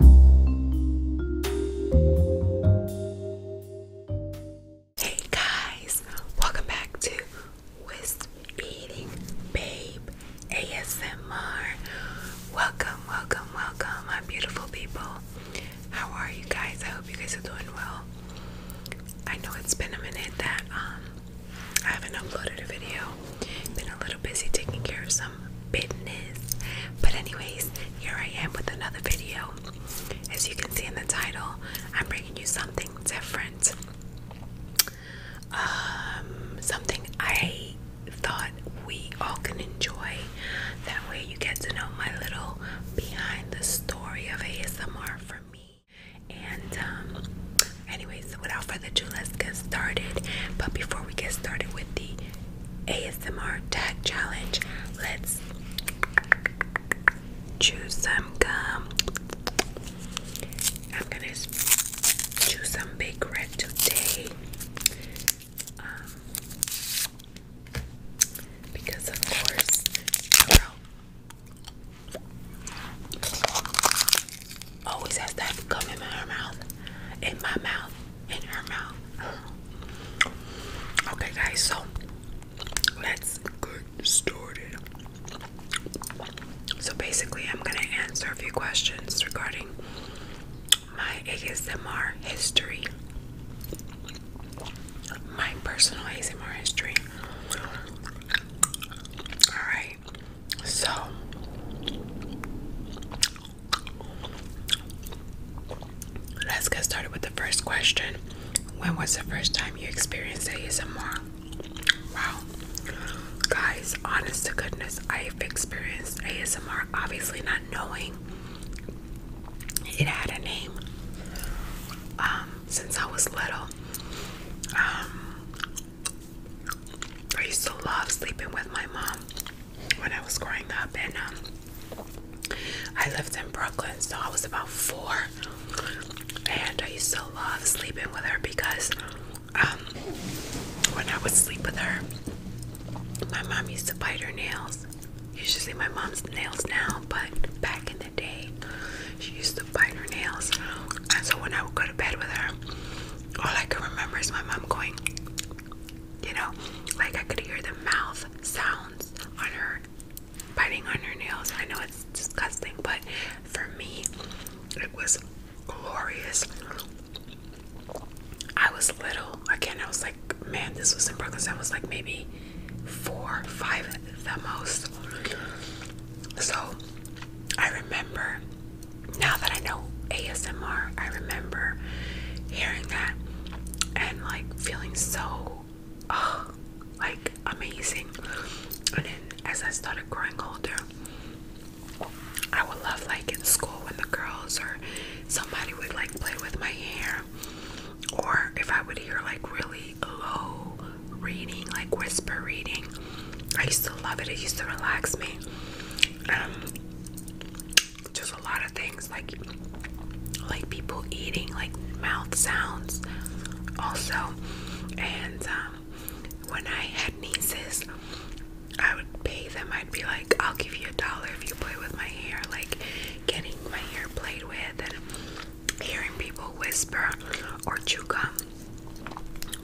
Hey guys, welcome back to Wisp Eating Babe ASMR. Welcome, welcome, welcome, my beautiful people. How are you guys? I hope you guys are doing well. I know it's been a minute that um I haven't uploaded a video. Been a little busy taking care of some business. But anyways, here I am with another video. As you can see in the title, I'm bringing you something different. Um, something I thought we all can enjoy. That way you get to know my little behind the story of ASMR for me. And um anyways, without further ado, let's get started. But before we get started with the ASMR tag challenge. Let's choose some gum. I'm gonna choose some big red today um, because of course. Always has that gum in my mouth. In my mouth. Okay, guys, so let's get started. So basically, I'm gonna answer a few questions regarding my ASMR history, my personal ASMR history. All right, so Let's get started with the first question. When was the first time you experienced ASMR? Wow. Guys, honest to goodness, I've experienced ASMR, obviously not knowing it had a name um, since I was little. Um, I used to love sleeping with my mom when I was growing up, and um, I lived in Brooklyn, so I was about four, and I used to love sleeping with her because um, when I would sleep with her, my mom used to bite her nails. You should see my mom's nails now, but back in the day, she used to bite her nails. And so when I would go to bed with her, all I can remember is my mom going, you know, like I could hear the mouth sounds on her biting on her nails. I know it's disgusting, but for me, it was glorious. I was little. Again, I was like, man, this was in Brooklyn. I was like maybe four, five the most. So I remember now that I know ASMR, I remember hearing that and like feeling so uh, like amazing. And then as I started growing older, I would love like in school when the girls are somebody would like play with my hair, or if I would hear like really low reading, like whisper reading. I used to love it, it used to relax me um, just a lot of things like like people eating, like mouth sounds, also. And um, when I had nieces, I would pay them. I'd be like, "I'll give you a dollar if you play with my hair." Like getting my hair played with and hearing people whisper or chew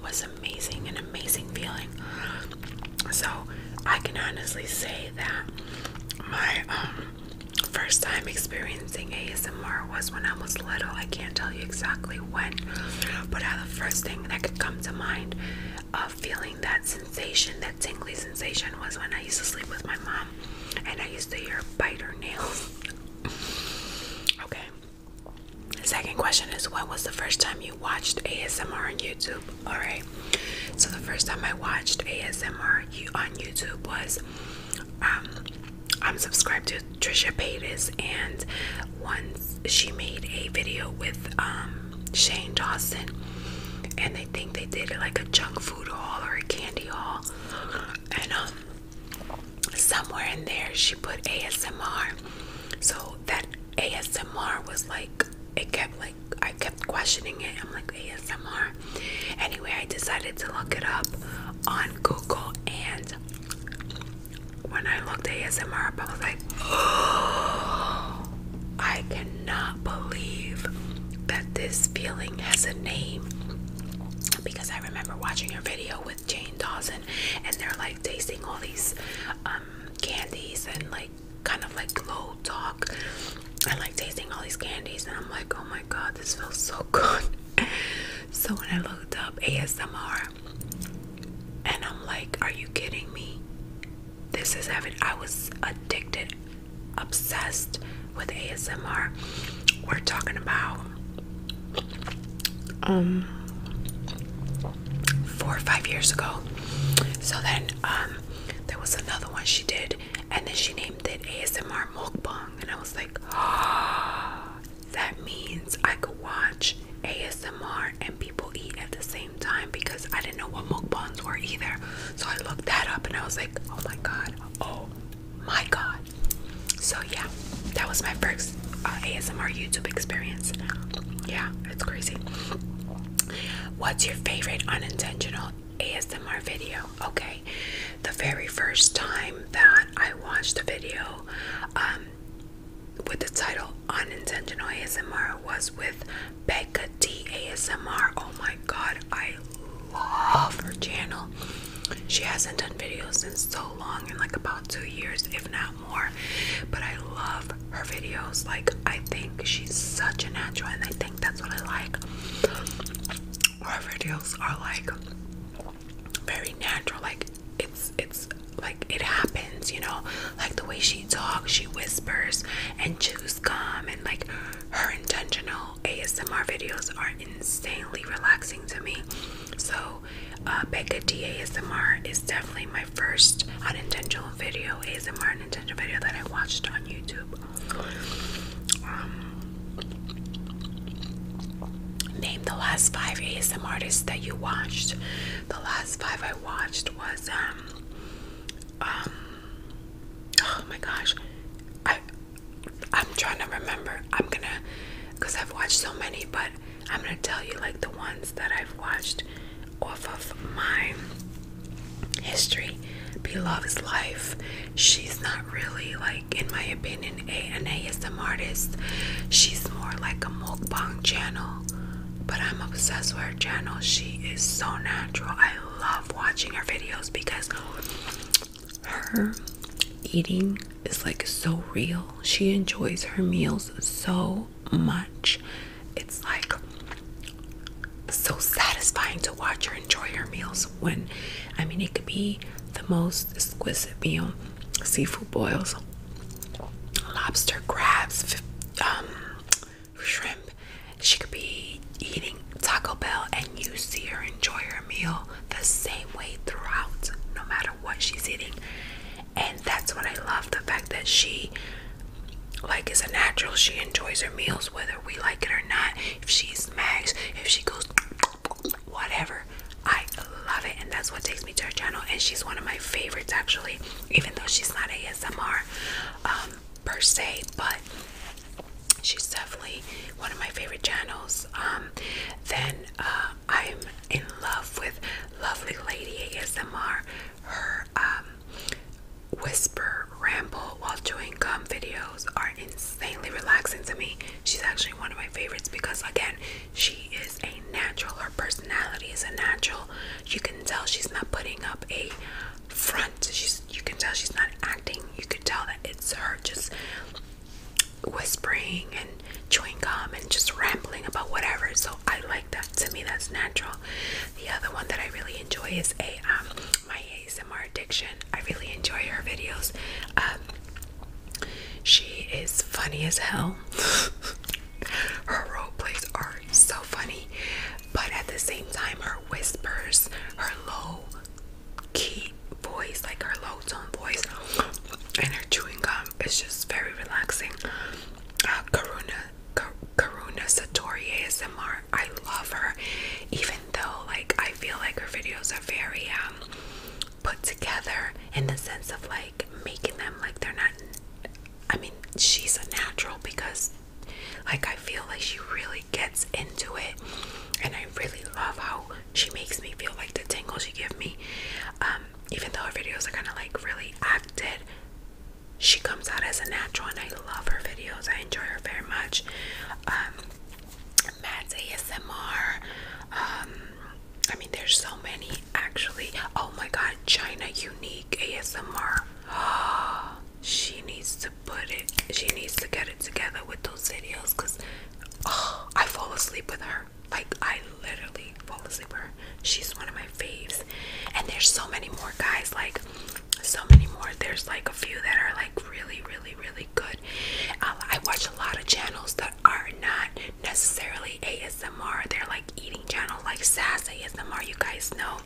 was amazing, an amazing feeling. So I can honestly say that my um, first time experiencing ASMR was when I was little. I can't tell you exactly when, but I, the first thing that could come to mind of feeling that sensation, that tingly sensation, was when I used to sleep with my mom and I used to hear her bite her nails. okay, Second question is when was the first time you watched ASMR on YouTube? Alright, so the first time I watched ASMR on YouTube was um, I'm subscribed to Trisha Paytas, and once she made a video with um, Shane Dawson, and they think they did like a junk food haul or a candy haul, and um, somewhere in there she put ASMR. So that ASMR was like it kept like I kept questioning it. I'm like ASMR. Anyway, I decided to look it up on Google and when I looked ASMR I was like, oh, I cannot believe that this feeling has a name. Because I remember watching your video with Jane Dawson, and they're like tasting all these um, candies and like kind of like low talk and like tasting all these candies. And I'm like, oh my god, this feels so good. so when I looked up ASMR, and I'm like, are you kidding me? This is heaven. I was addicted, obsessed with ASMR. We're talking about um four or five years ago. So then um there was another one she did and then she named it ASMR mukbang and I was like oh, that means I could watch ASMR and people eat at the same time because I didn't know what mukbangs were either. So I looked that up and I was like, oh my god, oh my god. So yeah, that was my first uh, ASMR YouTube experience. Yeah, it's crazy. What's your favorite unintentional ASMR video? Okay, the very first time that I watched a video um, with the title Unintentional ASMR was with Becca T ASMR. Oh my god, I love her channel. She hasn't done videos in so long, in like about two years, if not but I love her videos. Like I think she's such a natural and I think that's what I like. Her videos are like very natural. Like it's it's like it happens, you know, like the way she talks, she whispers and chews calm, and like her intentional ASMR videos are insanely relaxing to me. So uh, Becca D is definitely my first unintentional video, ASMR unintentional video that I watched on YouTube. Um, name the last five ASMR artists that you watched. The last five I watched was um um oh my gosh I I'm trying to remember. I'm gonna because I've watched so many, but I'm gonna tell you like the ones that I've watched off of my history. Beloved is life. She's not really like, in my opinion, a an ASM artist. She's more like a mukbang channel. But I'm obsessed with her channel. She is so natural. I love watching her videos because her eating is like so real. She enjoys her meals so much. It's like so satisfying to watch her enjoy her meals when I mean it could be the most exquisite meal. Seafood boils, lobster, crabs, um, shrimp. She could be eating Taco Bell and you see her enjoy her meal the same way throughout, no matter what she's eating and that's what I love the fact that she like is a natural. She enjoys her meals whether we like it or not. If she smacks, if she goes whatever. I love it and that's what takes me to her channel and she's one of my favorites actually even though she's not ASMR um per se but she's definitely one of my favorite channels. Um, then uh, I'm in love with lovely lady ASMR. Her um, whisper ramble while doing gum videos are insanely relaxing to me. She's actually one of my favorites because again, she is a natural. Her personality is a natural. You can tell she's not putting up a front. She's you can tell she's not acting. You can tell that it's her just whispering and chewing gum and just rambling about whatever. So I like that. To me, that's natural. The other one that I really enjoy is a um, my ASMR addiction. I really enjoy her videos. Um, she is funny as hell. her role plays are so funny, but at the same time, her whispers, her low key voice, like her low tone voice, and her chewing gum is just very relaxing. Uh, Karuna, Kar Karuna Satori ASMR, I love her, even though like I feel like her videos are very um put together in the sense of like making them like they're not. I mean, she's a natural because like I feel like she really gets into it, and I really love how she makes me feel like the tingle she give me um, even though her videos are kind of like really acted she comes out as a natural and i love her videos i enjoy her very much um ASMR um, I mean there's so many actually oh my god China unique ASMR she needs to put it she needs to get it together with those videos because oh, I fall asleep with her like I literally fall asleep She's one of my faves. And there's so many more guys, like so many more. There's like a few that are like really, really, really good. I watch a lot of channels that are not necessarily ASMR. They're like eating channel, like Sass ASMR. You guys know.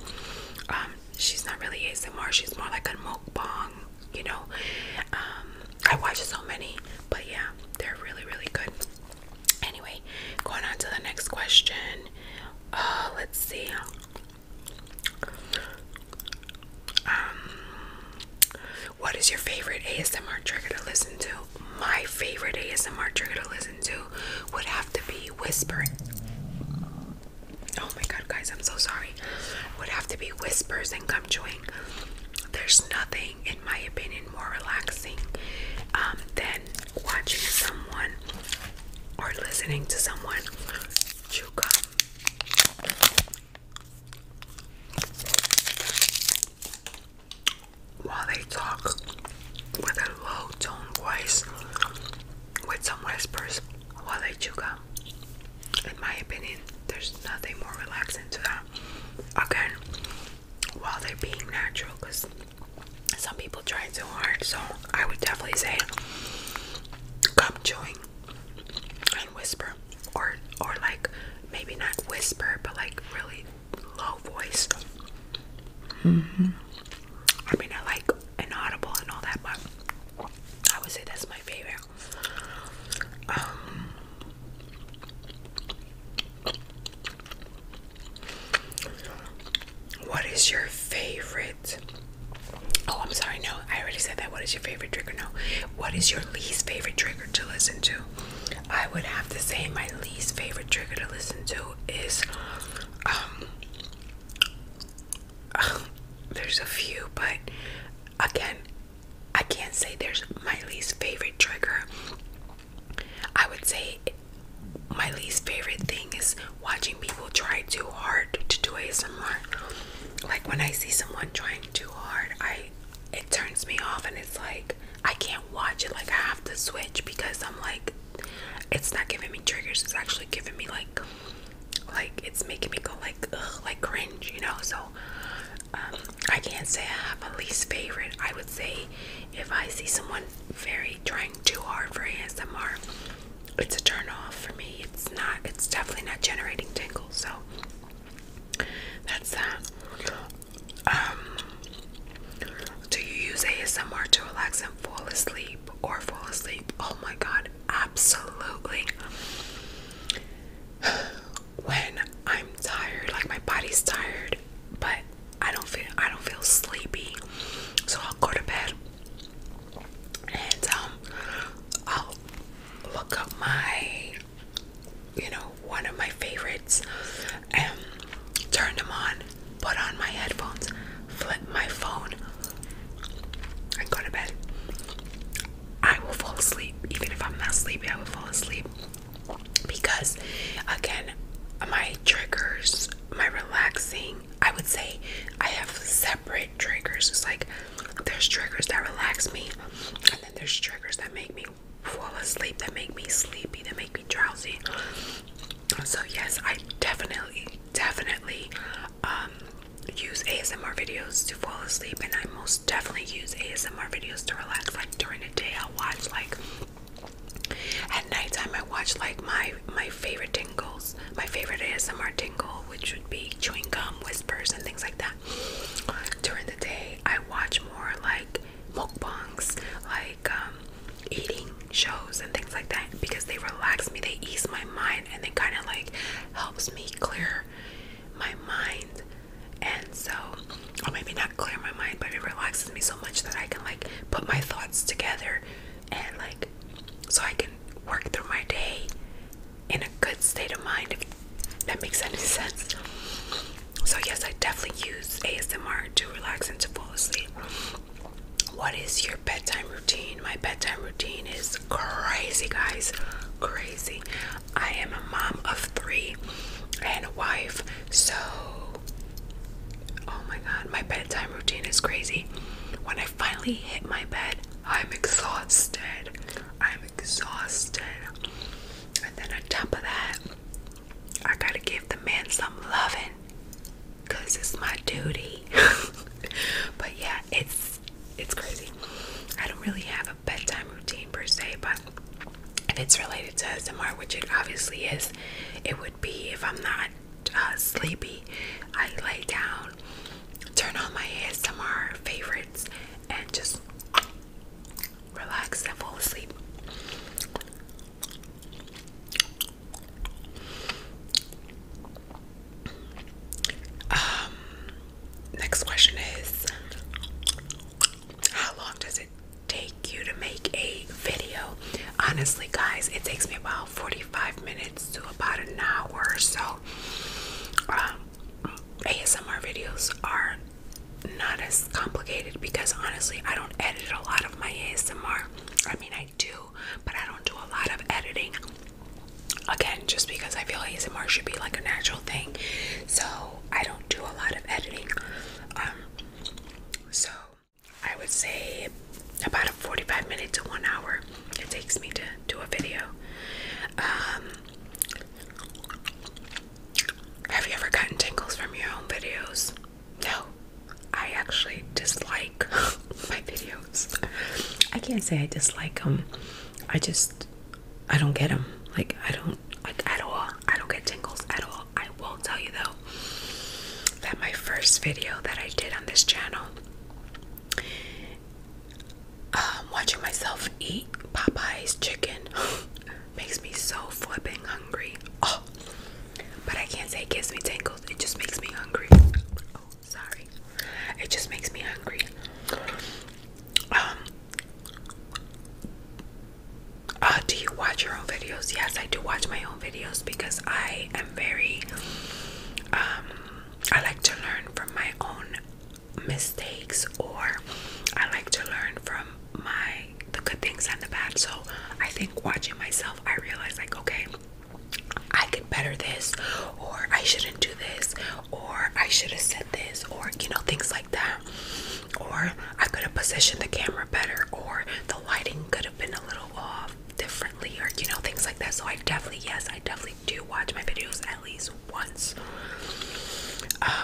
Um, she's not really ASMR. She's more like a mukbang you know um, i watch so many but yeah they're really really good anyway going on to the next question uh, let's see um what is your favorite asmr trigger to listen to my favorite asmr trigger to listen to would have to be whispering oh my god guys i'm so sorry would have to be whispers and gum chewing there's nothing in my opinion, more relaxing um, than watching someone or listening to someone chew gum. While they talk with a low tone voice with some whispers while they chew gum. In my opinion, there's nothing more relaxing to that again while they're being natural because some people try too hard. So I would definitely say gum chewing and whisper or or like maybe not whisper but like really low voice. Mm-hmm. I mean I like inaudible and all that but I would say that's my favorite. Um, what is your favorite? Oh, I'm sorry. No, I already said that. What is your favorite trigger? No. What is your least favorite trigger to listen to? I would have to say my least favorite trigger to listen to is um there's a few, but again, I can't say there's my least favorite trigger. I would say my least favorite thing is watching people try too hard to do ASMR. Like when I see someone trying too hard, I it turns me off and it's like I can't watch it. Like I have to switch because I'm like it's not giving me triggers. It's actually giving me like like it's making me go like like cringe, you know? So um, I can't say I have a least favorite. I would say if I see someone very trying too hard for ASMR, it's a turn off for me. It's not. It's definitely not generating tingles. So that's that. Um, do you use ASMR to relax and fall asleep or fall asleep? Oh my God! Absolutely. when I'm tired, like my body's tired, but I don't feel I don't feel sleepy. So I'll go to bed and um I'll look up my you know, one of my favorites and turn them on, put on my headphones, flip my phone and go to bed. I will fall asleep. Even if I'm not sleepy, I will fall asleep. Because again, my triggers, my relaxing, I would say I have separate triggers. It's like there's triggers that relax me, and then there's triggers that make me fall asleep, that make me sleepy, that make me drowsy. So yes, I definitely, definitely um, use ASMR videos to fall asleep, and I most definitely use ASMR videos to relax. Like during the day, I watch like at nighttime, I watch like my my favorite tingles, my favorite ASMR tingle, which would be chewing gum whispers and things like that. During the day, I watch more like mukbangs, like um, eating shows and things like that because they relax me, they ease my mind, and they kind of like helps me clear my mind and so or maybe not clear my mind but it relaxes me so much that I can like put my thoughts together and like so I can work through my day in a good state of mind if that makes any sense. So yes I definitely use ASMR to relax and to fall asleep. What is your bedtime routine? My bedtime routine is crazy, guys. Crazy. I am a mom of three and a wife, so oh my god, my bedtime routine is crazy. When I finally hit my bed, I'm exhausted. I'm exhausted. And then on top of that, I gotta give the man some loving because it's my duty. but yeah, it's it's crazy. I don't really have a bedtime routine per se, but if it's related to SMR, which it obviously is, it would be if I'm not uh, sleepy, I lay down, turn on my ASMR favorites, and just relax and fall asleep. Um, Next question is How long does it take you to make a video? Honestly, guys, it takes me about 45 minutes to about an hour so. Um, ASMR videos are not as complicated because honestly, I don't edit a lot of my ASMR. I mean, I do, but I don't do a lot of editing again, just because I feel ASMR should be like a natural thing. So I don't do a lot of editing. Um, so I would say about a 45 minute to one hour it takes me to do a video. Um, have you ever gotten tingles from your own videos? No, I actually dislike my video I can't say I dislike them. I just I don't get them. Like I don't like at all. I don't get tingles at all. I will tell you though that my first video that I did on this channel, um, watching myself eat Popeye's chicken makes me so flipping hungry. Oh, but I can't say it gives me tingles. It just makes me hungry. Oh. Sorry. It just makes me hungry. Um uh, do you watch your own videos? Yes, I do watch my own videos because I am very um I like to learn from my own mistakes or I like to learn from my the good things and the bad. So I think watching myself I realize like okay I could better this, or I shouldn't do this, or I should have said this, or you know, things like that. Or I could have positioned the camera better, or the lighting could have been a little off differently, or you know, things like that. So, I definitely, yes, I definitely do watch my videos at least once.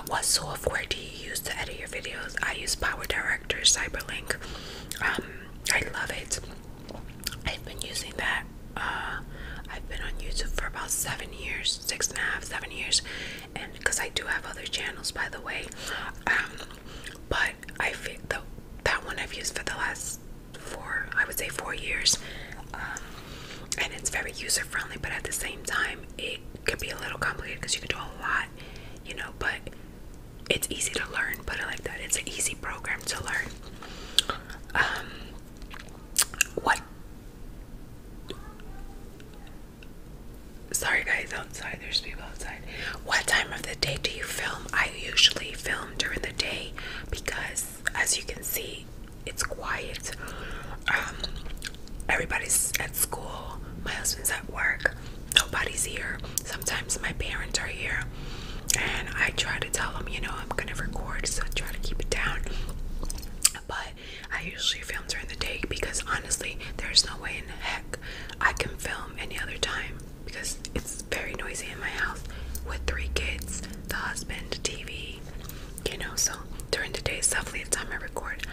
what uh, software do you use to edit your videos? I use Power Director Cyberlink, um, I love it. I've been using that. Uh, I've been on YouTube for about seven years, six and a half, seven years, and because I do have other channels, by the way. Um, but I feel the, that one I've used for the last four, I would say four years, um, and it's very user friendly. But at the same time, it can be a little complicated because you can do a lot, you know. But it's easy to learn. But I like that. It's an easy program to learn. Um, what? Sorry, guys, outside. There's people outside. What time of the day do you film? I usually film during the day because, as you can see, it's quiet. Um, everybody's at school. My husband's at work. Nobody's here. Sometimes my parents are here. And I try to tell them, you know, I'm gonna record, so I try to keep it down. But I usually film during the day because honestly, there's no way in heck I can film any other time because it's very noisy in my house with three kids, the husband, TV, you know. So during the day is definitely the time I record.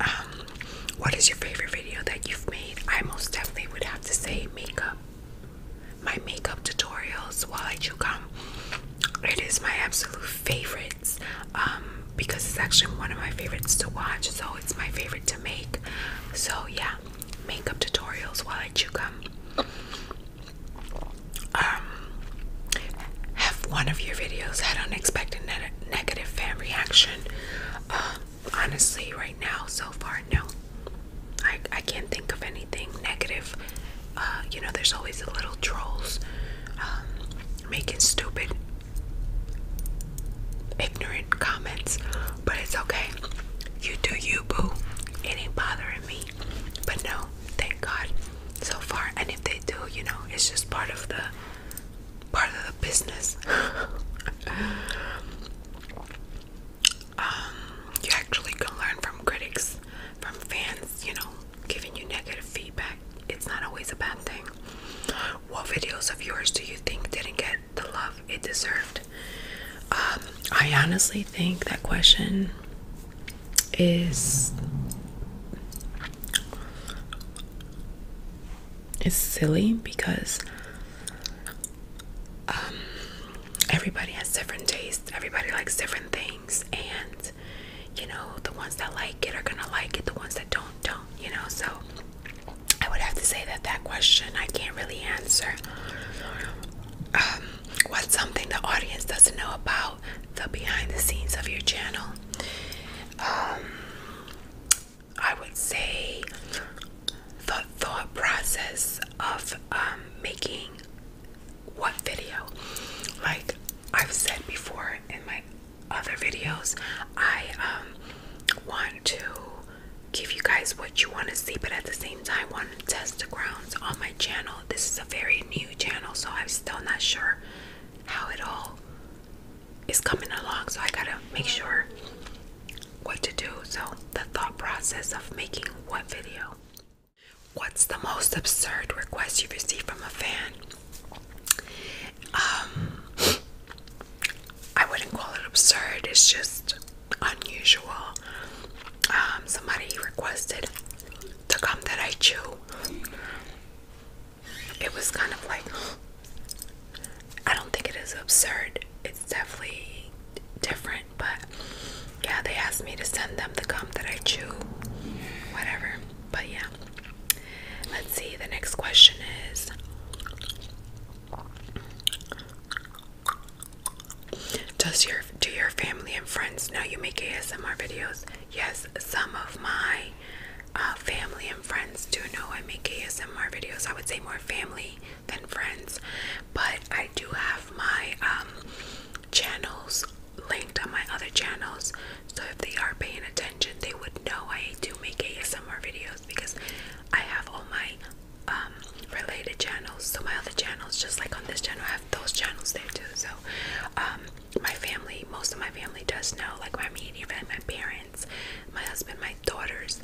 Um, what is your favorite video that you've made? I most definitely would have to say makeup my makeup tutorials while I chew gum. It is my absolute favorites um, because it's actually one of my favorites to watch, so it's my favorite to make. So, yeah, makeup tutorials while I chew gum. Um, have one of your videos had unexpected ne negative fan reaction? Um, honestly, right now so far no i i can't think of anything negative uh, you know there's always the little trolls um, making stupid ignorant comments but it's okay you do you boo it ain't bothering me but no thank god so far and if they do you know it's just part of the part of the business Um, you actually can learn from critics, from fans, you know, giving you negative feedback. It's not always a bad thing. What videos of yours do you think didn't get the love it deserved? Um, I honestly think that question is is silly because um, everybody has different tastes, everybody likes different things, and you know, the ones that like it are gonna like it, the ones that don't, don't, you know. So, I would have to say that that question I can't really answer. Um, what's something the audience doesn't know about the behind the scenes of your channel? Um, I would say the thought process of um, making what video. Like I've said before in my other videos, I um, want to give you guys what you want to see, but at the same time, want to test the grounds on my channel. This is a very new channel, so I'm still not sure how it all is coming along. So I gotta make sure what to do. So, the thought process of making what video? What's the most absurd request you've received from a fan? Um, I wouldn't call it absurd, it's just unusual. Um, somebody requested to come that I chew. It was kind of like, I don't think it is absurd. It, it's definitely different, but yeah, they asked me to send them the gum that I chew, whatever. But yeah, let's see. The next question is Does your do your family and friends know you make ASMR videos? Yes, some of my uh, family and friends do know I make ASMR videos. I would say more family than friends. But I do have my um, channels linked on my other channels, so if they are paying attention, they would know I do make ASMR videos because I have all my um, related channels. So my other channels, just like on this channel, I have those channels there too. So um, my family, most of my family does know, like my immediate family, my parents, my husband, my daughters.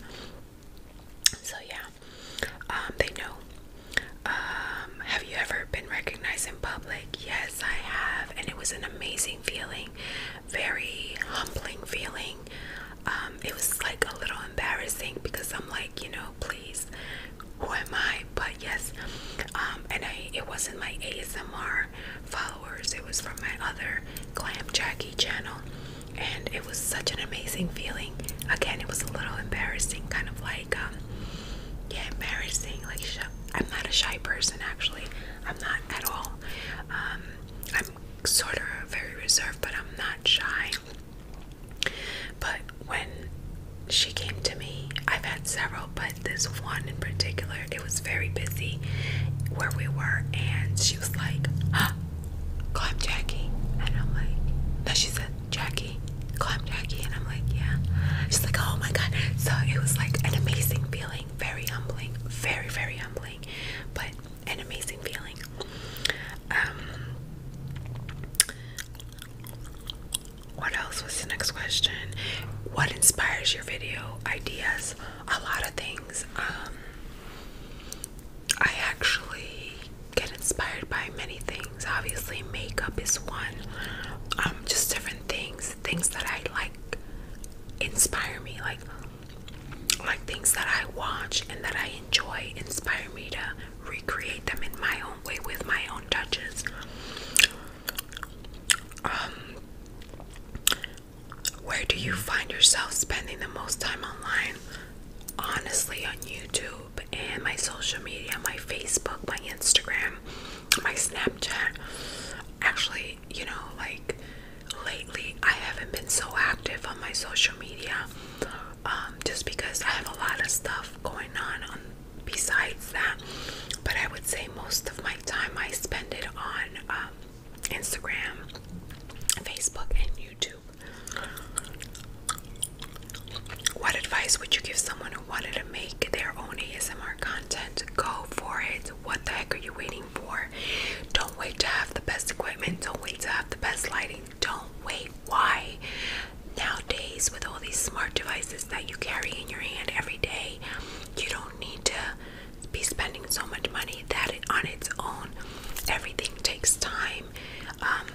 So yeah, um, they know. Um, have you ever been recognized in public? Yes, I have, and it was an amazing feeling, very humbling feeling. Um, it was like a little embarrassing because I'm like, you know, please, who am I? But yes, um, and I it wasn't my ASMR followers, it was from my other Glam Jackie channel and it was such an amazing feeling. Again, it was a little embarrassing, kind of like, um, yeah, embarrassing. Like, I'm not a shy person, actually. I'm not at all. Um, I'm sort of very reserved, but I'm not shy. But when she came to me, I've had several, but this one in particular, it was very busy where we were, and she was like, call him Jackie. And I'm like, no, she said, Jackie, call him Jackie. And I'm like, yeah. She's like, oh my God. So it was like an amazing feeling, very humbling, very, very humbling, but an amazing feeling. Um, what else was the next question? What inspires your video ideas? A lot of things. Um, I actually get inspired by many things. Obviously, makeup is one. Um, just different things, things that I like inspire me, like like things that I watch and that I enjoy inspire me to recreate them in my own way with my own touches. Um, where do you find yourself spending the most time online? Honestly, on YouTube and my social media, my Facebook, my Instagram, my Snapchat. Actually, you know, like lately I haven't been so active on my social media um, just because I have a lot of stuff going on, um, besides that. But I would say most of my time I spend it on um, Instagram, Facebook, and YouTube. What advice would you give someone who wanted to make their own ASMR content? Go for it. What the heck are you waiting for? Don't wait to have the best equipment, don't wait to have the best lighting, don't wait. Why? Nowadays, with all these smart devices that you carry in your hand every day, you don't need to be spending so much money that it, on its own, everything takes time. Um,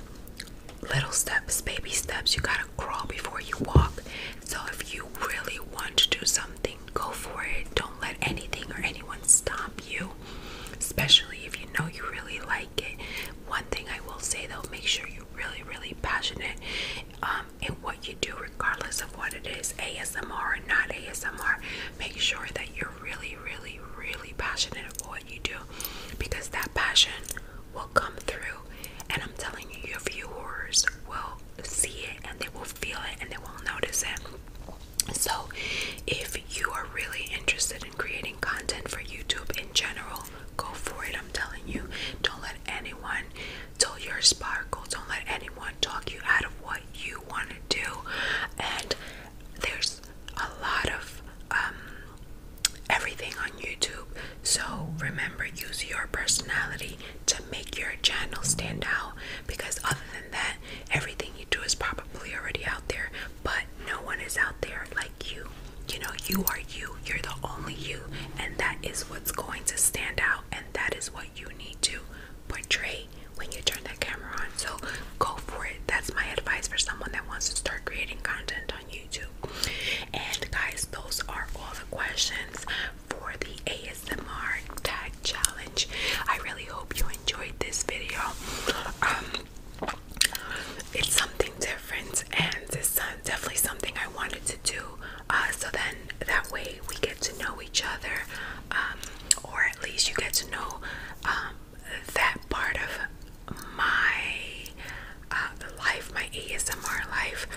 little steps, baby steps. You gotta crawl before you walk. So if you really want to do something, go for it. Don't let anything or anyone stop you. Especially if you know you really like it. One thing I will say though, make sure you're really, really passionate um, in what you do, regardless of what it is ASMR or not ASMR. Make sure that you're really, really, really, passionate about what you do because that passion will come through. And I'm telling you, your viewers will see it and they will feel it and they will notice it. So, if you are really interested in creating content for YouTube in general, go for it. I'm telling you, don't let anyone dull your sparkle, don't let anyone talk you out of what you want to do. And there's a lot of um, everything on YouTube. So remember, use your personality to make your channel stand out because other than that, everything you do is probably already out there, but no one is out there like you. You know, you are you, you're the only you, and that is what's going to stand out, and that is what you need to portray when you turn that camera on. So go for it. That's my advice for someone that wants to start creating content on YouTube. And guys, those are all the questions for the ASMR tag challenge. I really hope you enjoyed this video. Um, it's something different, and it's definitely something I wanted to do. Uh, so then that way we get to know each other. Um, or at least you get to know um, that part of my uh, life, my ASMR life.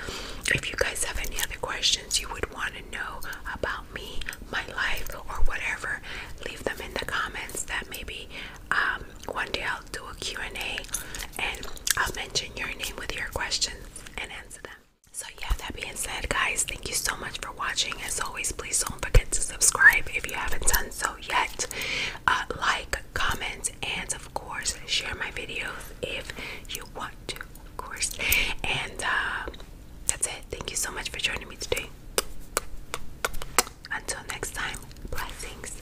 If you guys have any other questions you would want to know about me, my life, or whatever, leave them in the comments. That maybe um, one day I'll do a Q&A and I'll mention your name with your questions and answer them. So yeah, that being said, guys, thank you so much for watching. As always, please don't forget to subscribe if you haven't done so yet. Uh, like, comment, and of course, share my videos if you want to, of course. And uh, that's it. Thank you so much for joining me today. Until next time, blessings.